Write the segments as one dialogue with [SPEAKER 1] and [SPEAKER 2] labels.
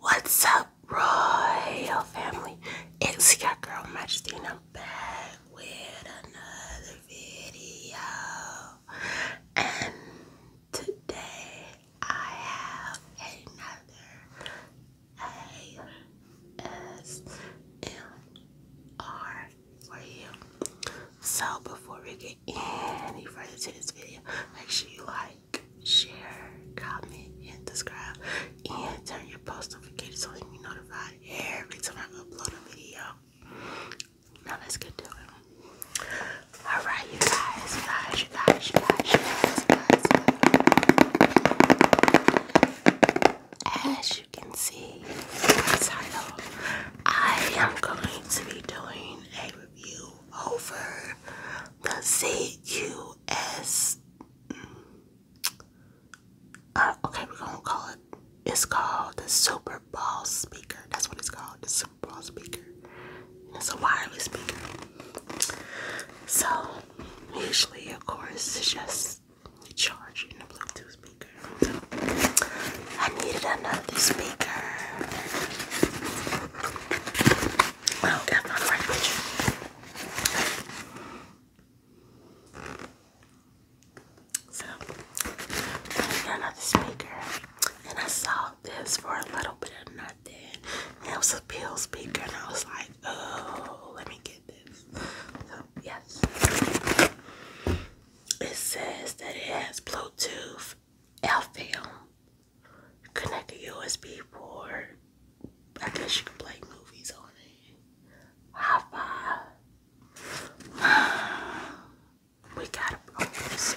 [SPEAKER 1] What's up, royal family? It's your girl Majesty, and I'm back with another video. And today I have another ASMR for you. So before we get any further to this video, make sure you like, share, comment, and subscribe, and turn your post notifications on so you be notified every time I upload a video. Now let's get to it. All right, you guys, you guys, you guys, you guys. You guys as you can see title, I am going to be doing a review over the ZQS. Mm, uh, okay, we're gonna call it. It's called the Super Ball Speaker. That's what it's called, the Super Ball Speaker. And it's a wireless speaker. So, usually, of course, it's just was charging the Bluetooth speaker. I needed another speaker. I don't got my right picture. So, another speaker, and I saw this for a little bit of nothing. And it was a pill speaker, and I was like, oh, let me get this yes. It says that it has Bluetooth, LFM, connect a USB port. I guess you can play movies on it. Wi-Fi. We gotta open this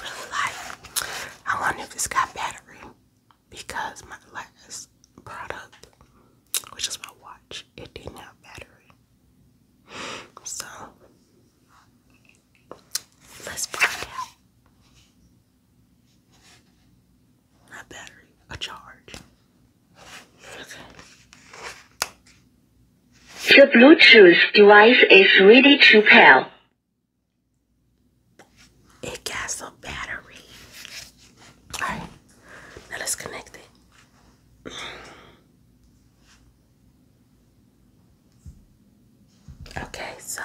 [SPEAKER 1] really like. I wonder if it's got battery because my last product, which is my watch, it didn't have battery. So let's find out. Not battery, a charge. Okay. The Bluetooth device is ready to pair. It has a battery. Alright, now let's connect it. Okay, so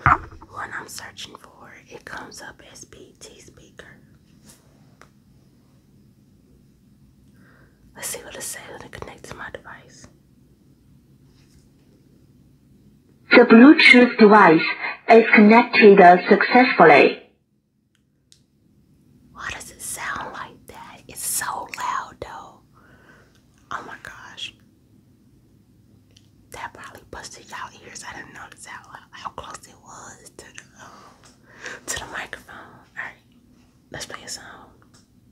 [SPEAKER 1] when I'm searching for it, it comes up as BT speaker. Let's see what it says when it connects to my device. The Bluetooth device is connected successfully. Why does it sound like that? It's so loud though. Oh my gosh. That probably busted y'all ears. I didn't notice how, how close it was to the, to the microphone. Alright, let's play a song.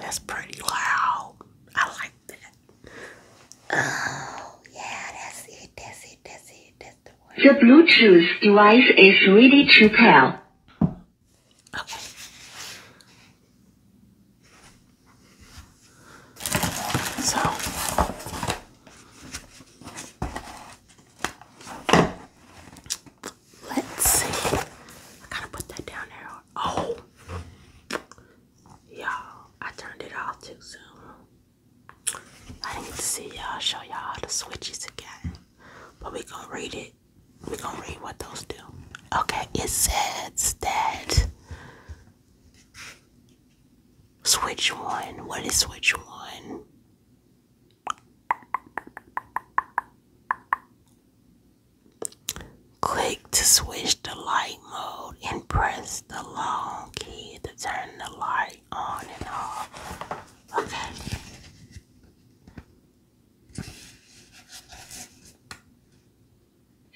[SPEAKER 1] That's pretty loud. I like that. Oh, yeah, that's it, that's it, that's it, that's the one. Your Bluetooth device is ready to pair. So let's see. I gotta put that down there. Oh, y'all, I turned it off too soon. I need to see y'all show y'all the switches again, but we gonna read it. We gonna read what those do. Okay, it says that switch one. What is switch one? Click to switch to light mode and press the long key to turn the light on and off.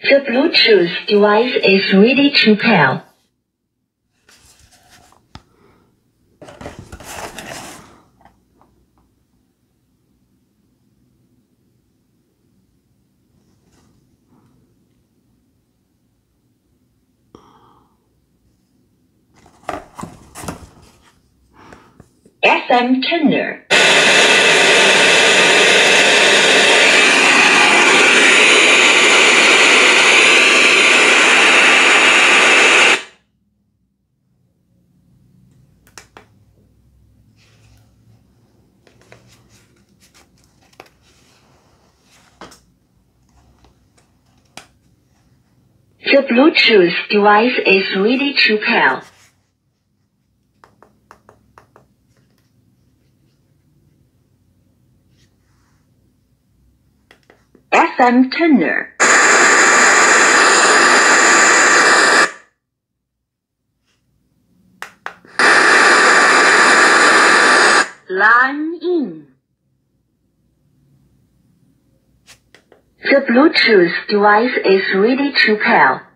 [SPEAKER 1] The Bluetooth device is ready to pair. FM Tender. The Bluetooth device is ready to pair. FM tuner. Line in. The Bluetooth device is ready to pair.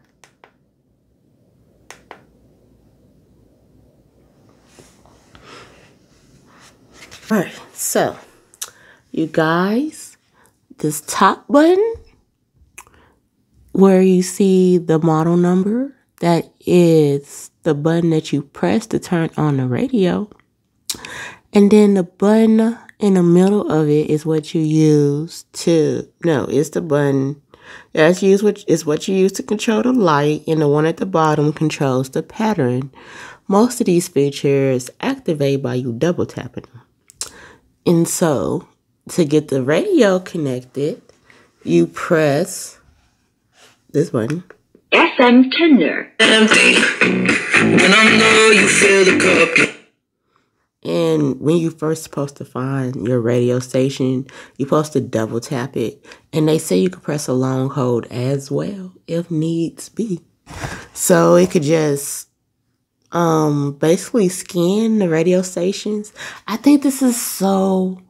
[SPEAKER 1] Alright, so you guys, this top button where you see the model number, that is the button that you press to turn on the radio. And then the button in the middle of it is what you use to, no, it's the button that's used, which is what you use to control the light, and the one at the bottom controls the pattern. Most of these features activate by you double tapping And so to get the radio connected, you press this button. FM Tender. And when you first supposed to find your radio station, you're supposed to double tap it. And they say you can press a long hold as well if needs be. So it could just um basically scan the radio stations. I think this is so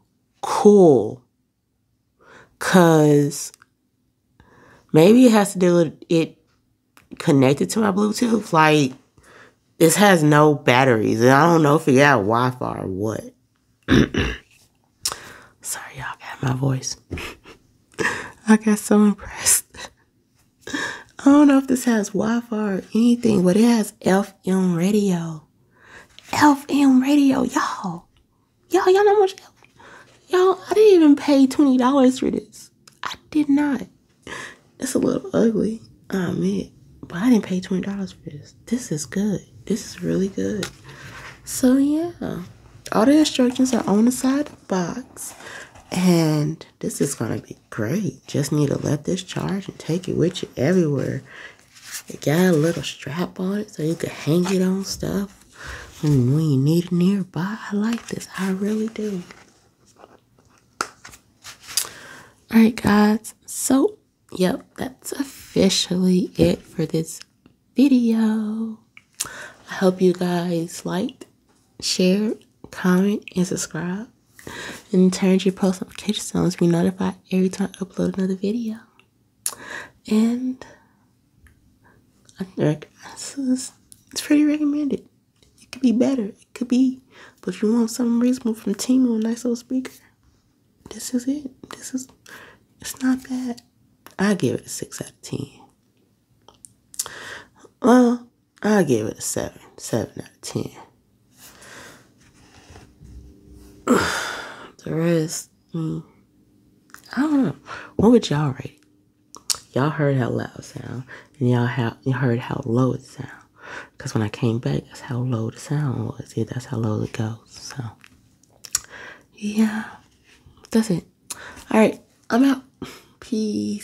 [SPEAKER 1] cool cuz maybe it has to do with it connected to my Bluetooth. Like this has no batteries, and I don't know if it got Wi Fi or what. Sorry, y'all got my voice. I got so impressed. I don't know if this has Wi Fi or anything, but it has FM radio. FM radio, y'all. Y'all, y'all know how much. Y'all, I didn't even pay $20 for this. I did not. It's a little ugly, I admit. But I didn't pay $20 for this. This is good. This is really good. So, yeah. All the instructions are on the side of the box. And this is going to be great. Just need to let this charge and take it with you everywhere. It got a little strap on it so you can hang it on stuff and when you need it nearby. I like this. I really do. Alright guys, so yep, that's officially it for this video. I hope you guys liked, shared, comment, and subscribe. And turn your post notifications on to be notified every time I upload another video. And it's pretty recommended. It could be better. It could be. But if you want something reasonable from Timu, a nice little speaker, this is it. This is, it's not bad. I give it a 6 out of 10. Well, uh, I give it a seven, seven out of ten. the rest, mm, I don't know. What would y'all rate? Y'all heard how loud it sound, and y'all how you heard how low it sound. Cause when I came back, that's how low the sound was. Yeah, that's how low it goes. So, yeah, that's it. All right, I'm out. Peace.